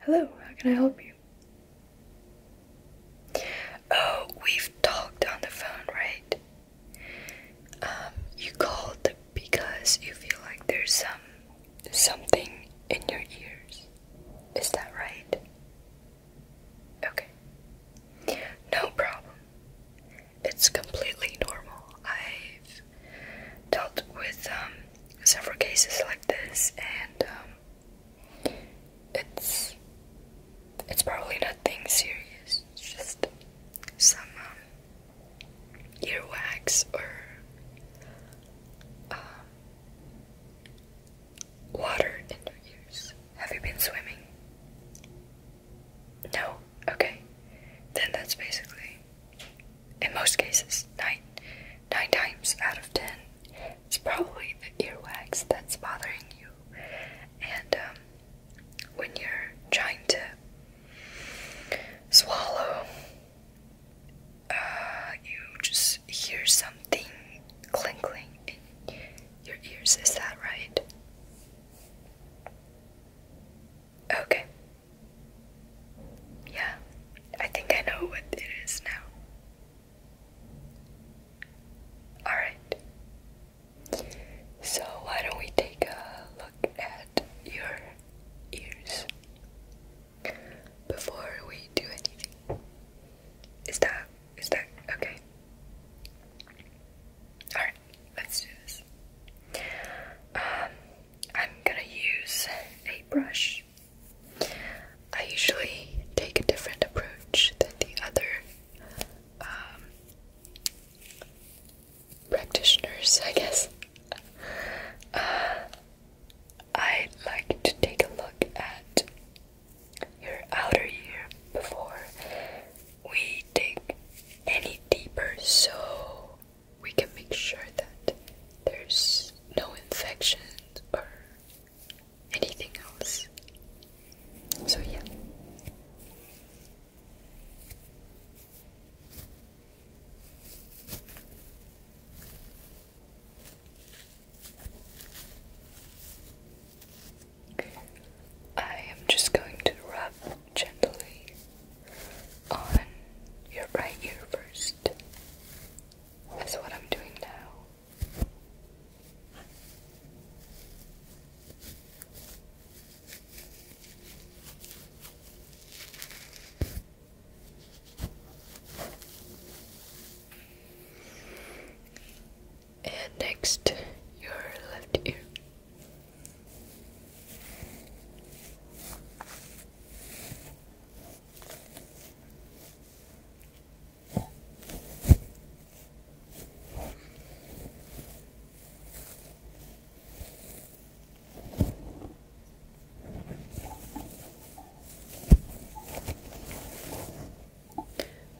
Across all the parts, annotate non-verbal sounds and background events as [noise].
Hello, how can I help you? Oh, we've talked on the phone, right? Um, you called because you feel like there's some something in your ears. Is that right? Okay. No problem. It's completely normal. I've have dealt with um, several cases like this, and um, it's it's probably nothing serious. just some um, earwax or water in your ears. Have you been swimming? No. Okay. Then that's basically in most cases, nine, nine times out of ten, it's probably the earwax that's bothering you. And um, when you're trying to swallow, uh, you just hear something clinking in your ears. Is that right? Okay, yeah, I think I know what it is now. Alright, so why don't we take a look at your ears before we do anything? Is that, is that okay? Alright, let's do this. Um, I'm gonna use a brush I usually take a different approach than the other um, practitioners, I guess. Uh, I'd like to take a look at your outer ear before we dig any deeper. So we can make sure that there's no infection or anything else. So, yeah. I am just going to rub gently on your right ear first. That's what I'm doing now. And next, your left ear.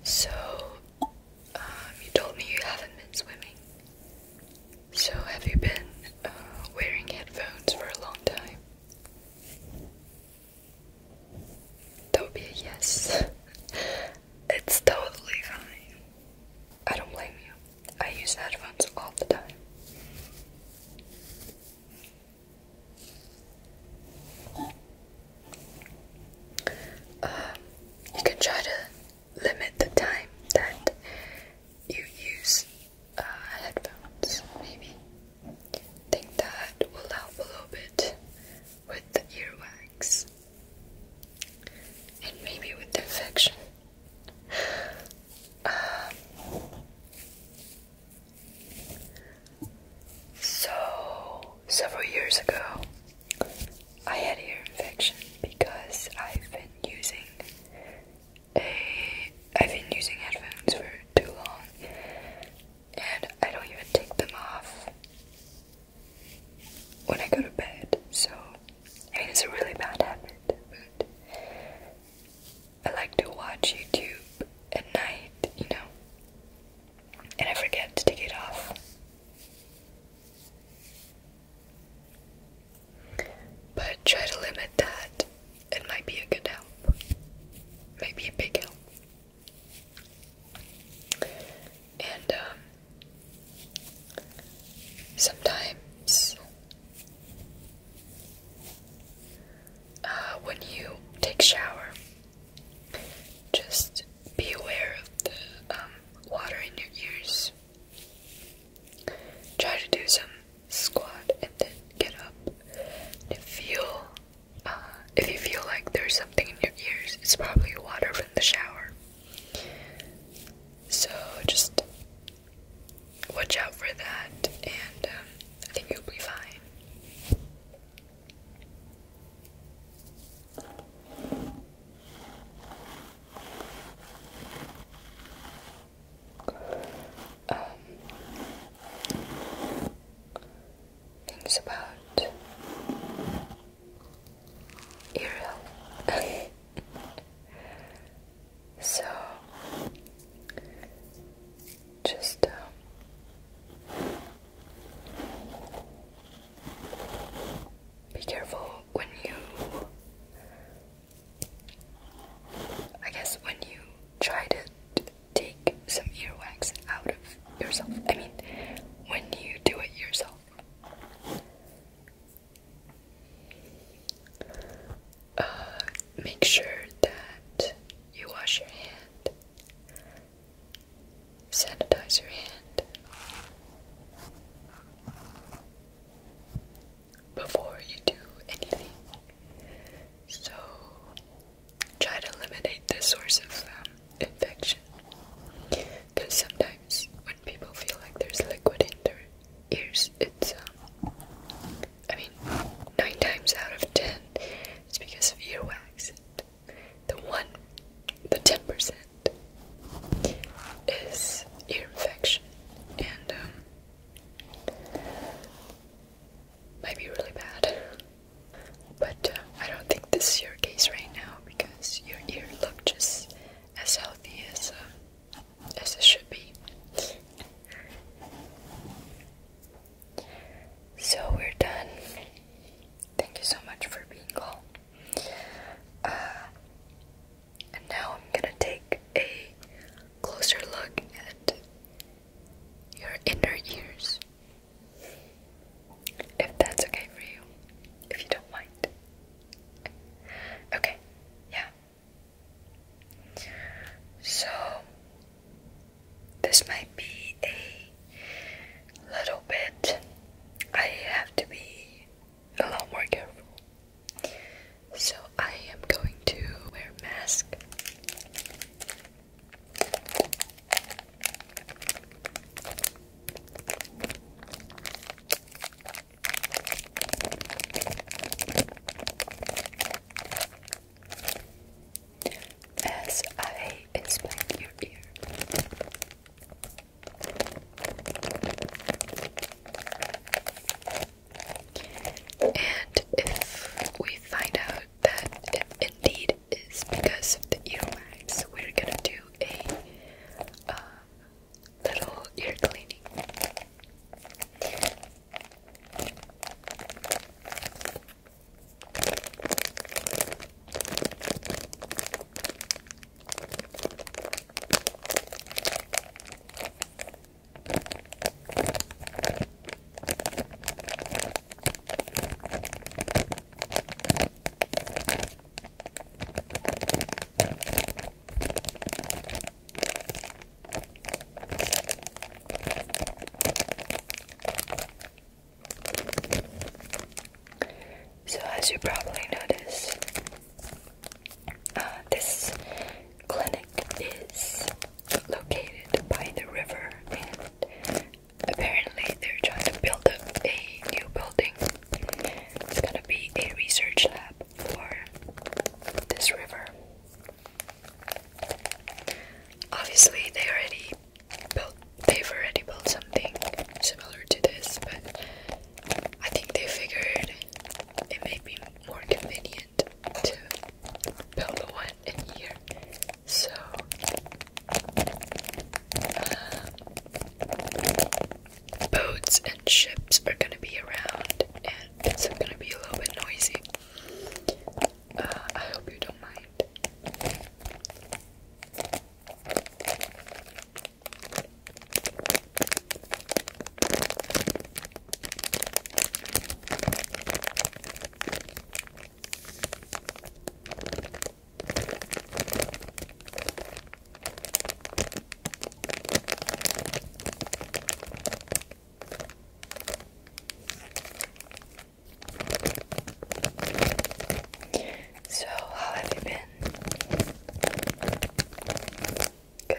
So, um, you told me you haven't been swimming. So, have you been uh, wearing headphones for a long time? Toby, yes. [laughs] it's totally fine. I don't blame you. I use headphones all the time. Um, you can try to limit the time that you use uh, headphones, maybe. Think that will help a little bit with the earwax and maybe with the infection. Um, so, several years ago, I had ear infection because I've been using i I've been using headphones for too long and I don't even take them off when I go to bed. So I mean it's a really bad habit, but I like to watch YouTube at night, you know. And I forget to take it off. But try to limit that it might be a good help. Maybe a big help. And um, sometimes uh, when you take shower, just be aware of the um, water in your ears. Try to do some squat and then get up. if you uh, if you feel like there's something in your ears, it's probably water from the shower. So just watch out for that, and um, I think you'll be fine. Um, things about Ariel. [laughs] so just. Uh, be careful when you I guess when you try to take some earwax out of yourself, I mean, when you do it yourself. Uh, make sure that you wash your hand, sanitize your hand, before you do anything. So try to eliminate the source of um, infection. Because sometimes when people feel like there's liquid in their ears, it's, um, I mean, nine times out of ten, it's because of earwax. The one, the 10% is ear infection. And, um, might be really bad. But uh, I don't think this is your case right now because your ear looks just as healthy as uh, as it should be. So we're done. Thank you so much for being called. Uh, and now I'm gonna take a closer look at your inner ears. If that's okay for you, if you don't mind. Okay, yeah. So, this might be a little bit. I have to be a lot more careful. So I am going to wear a mask. As I inspect your ear. And if we find out that it indeed is because of the earwax, we're gonna do a uh, little ear cleaning. So, as you probably noticed, uh, this clinic is located by the river and apparently they're trying to build a new building. It's gonna be a research lab for this river. Obviously they already built they've already built something similar to this, but I think they figured it may be more convenient to build one in here. So um, boats and ships are gonna be around, and it's gonna be a little bit noisy. Uh, I hope you don't mind. So, how have you been? Good.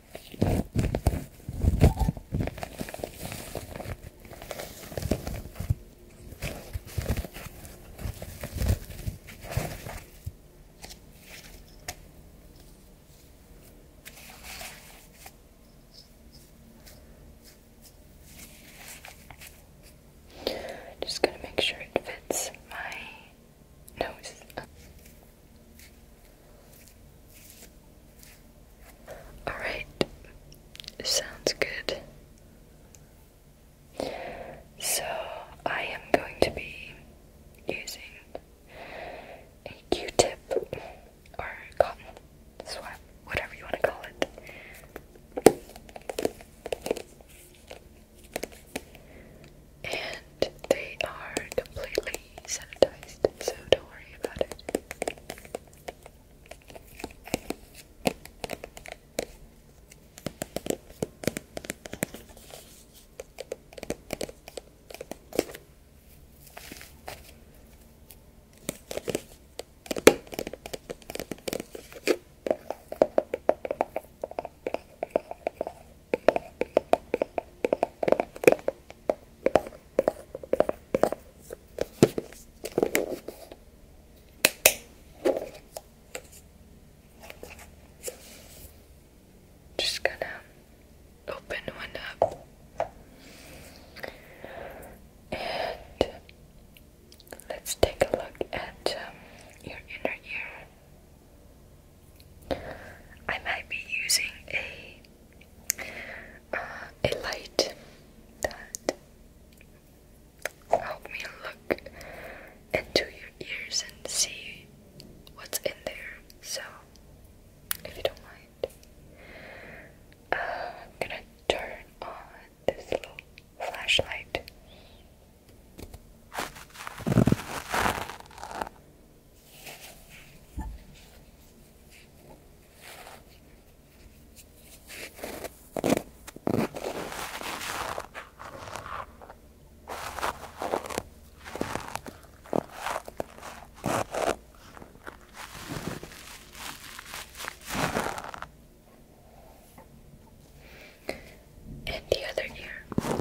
Just gonna make sure it fits my nose. Alright, sounds good. So, I am going to be using a q tip or cotton swab, whatever you want to call it they are completely sanitized, so don't worry about it. Just gonna open one up and let's take a look at um, your inner ear. I might be using a uh, a light that help me look into your ears and see what's in there. So, if you don't mind, uh, I'm gonna turn on this little flashlight. And the other ear.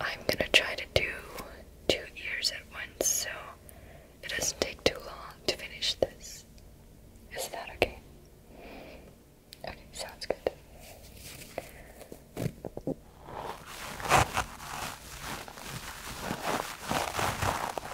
I'm gonna try to do two ears at once so it doesn't take too long to finish this. Is that okay? Okay, sounds good.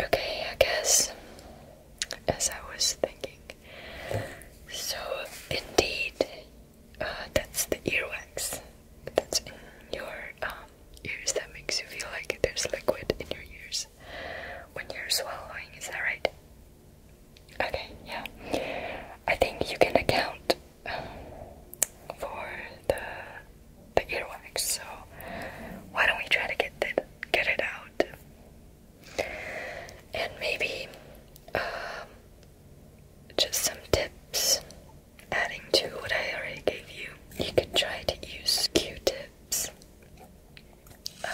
Okay, I guess as I was thinking. So, indeed, uh, that's the earwax that's in your um, ears that makes you feel like there's liquid in your ears when you're swallowing, is that right? Okay, yeah. I think you can account um, for the the earwax, so why don't we try to get it get it out? And maybe um, just some tips adding to what I already gave you. You could try to use Q-tips uh,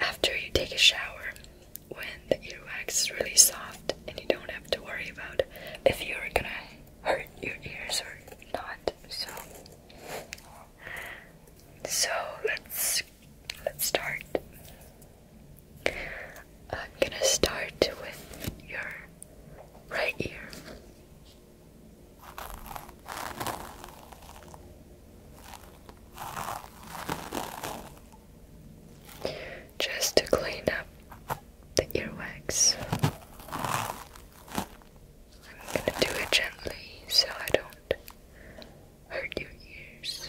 after you take a shower, when the earwax is really soft and you don't have to worry about if you're gonna hurt your ears or not. So, so let's let's start. I'm gonna start with your right ear. Just to clean up the earwax. I'm gonna do it gently so I don't hurt your ears.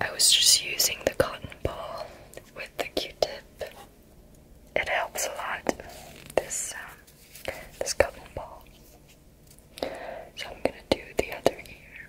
I was just using the cotton ball with the q tip it helps a lot. This um, this cotton ball. So I'm gonna do the other ear.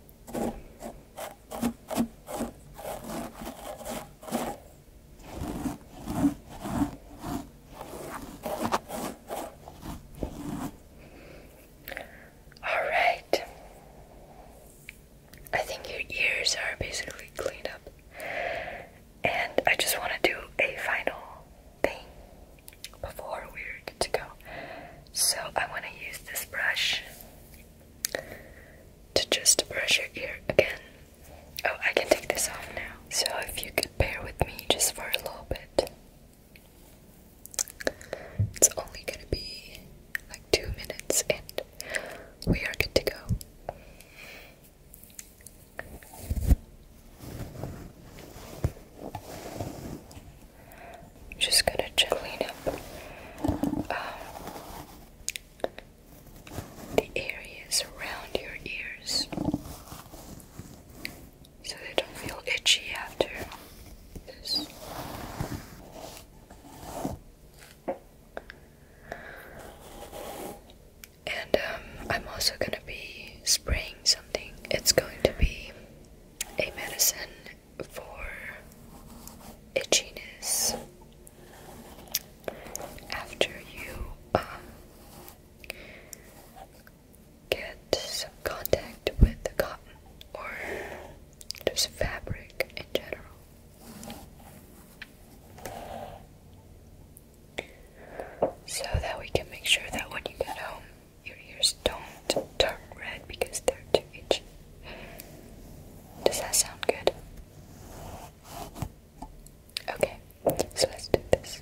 All right. I think your ears are basically cleaned up. And I just want to do a final thing before we were good to go. So I want to use this brush to just brush your ear again. Oh, I can take this off now. So if you could bear with me just for a little bit. It's only gonna be like two minutes and we are good to go. I'm just gonna gently up um, the areas around your ears so they don't feel itchy after And um, I'm also gonna be spraying something. It's going to be a medicine for itchiness after you um, get some contact with the cotton or just fabric in general. So that we can make sure that when you get home, your ears don't turn red because they're too itchy. Does that sound good? Okay, so let's do this.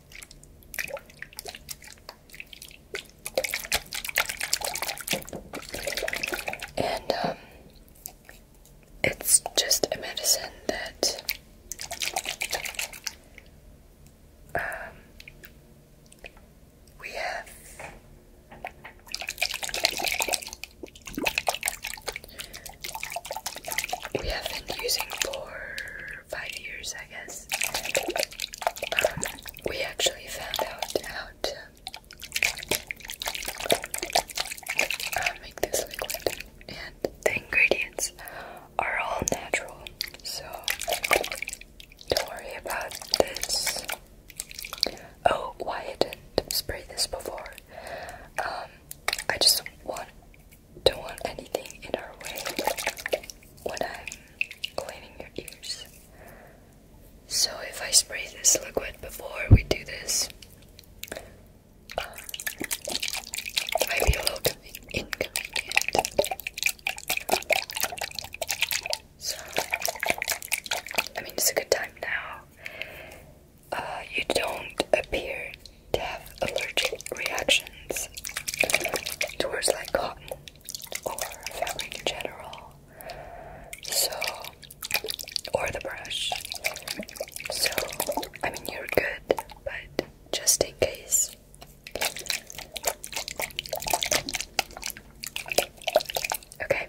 And um, it's just a medicine that um, we have we have been using for five years, I guess, um, we actually found out how to uh, make this liquid, and the ingredients are all natural, so don't worry about this. Oh, why didn't spray this before? Um, I just want don't want anything in our way when I'm cleaning your ears. So if I spray this liquid before we do this, I feel a little inconvenient. So, I mean, it's a good time now. Uh, you don't appear to have allergic reactions towards like cotton or fabric in general. So, or the brush. So, I mean, you're good, but just in case. Okay.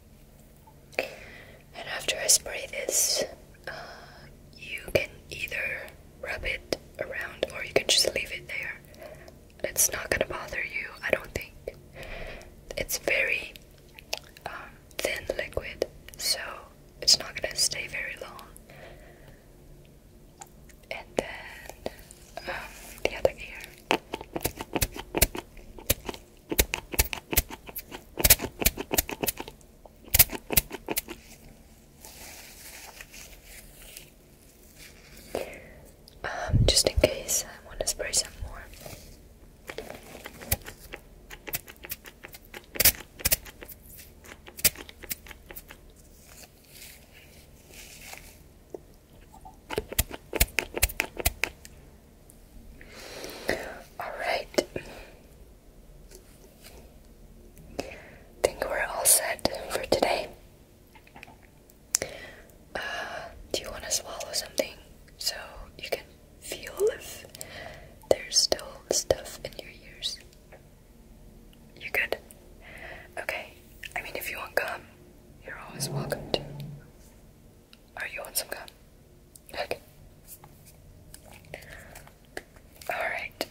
And after I spray this, uh, you can either rub it around or you can just leave it there. It's not gonna bother you, I don't think. It's very um, thin liquid, so it's not gonna stay very long. And then um, the other ear. Um, just in case I want to spray some more. All right. Think we're all set for today. Uh, do you want to swallow something so you can feel if there's still stuff in your ears? You good? Okay. I mean, if you want gum, you're always welcome to. Are you on some gum? Alright,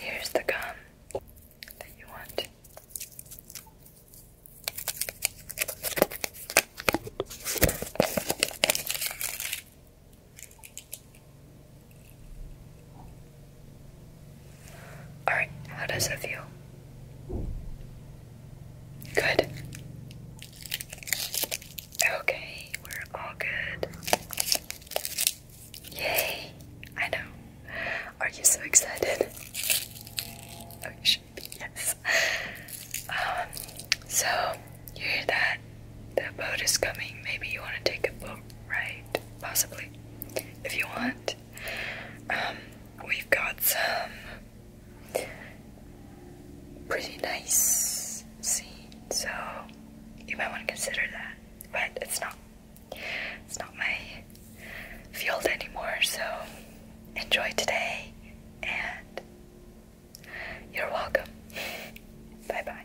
here's the gum that you want. Alright, how does it feel? Good. Okay, we're all good. Yay! I know. Are you so excited? Oh, you should be, yes. Um, so, you hear that? The boat is coming. Maybe you want to take a boat ride? Possibly. If you want. Um, we've got some pretty nice scene, so you might want to consider that. But it's not it's not my field anymore, so enjoy today and you're welcome. Bye bye.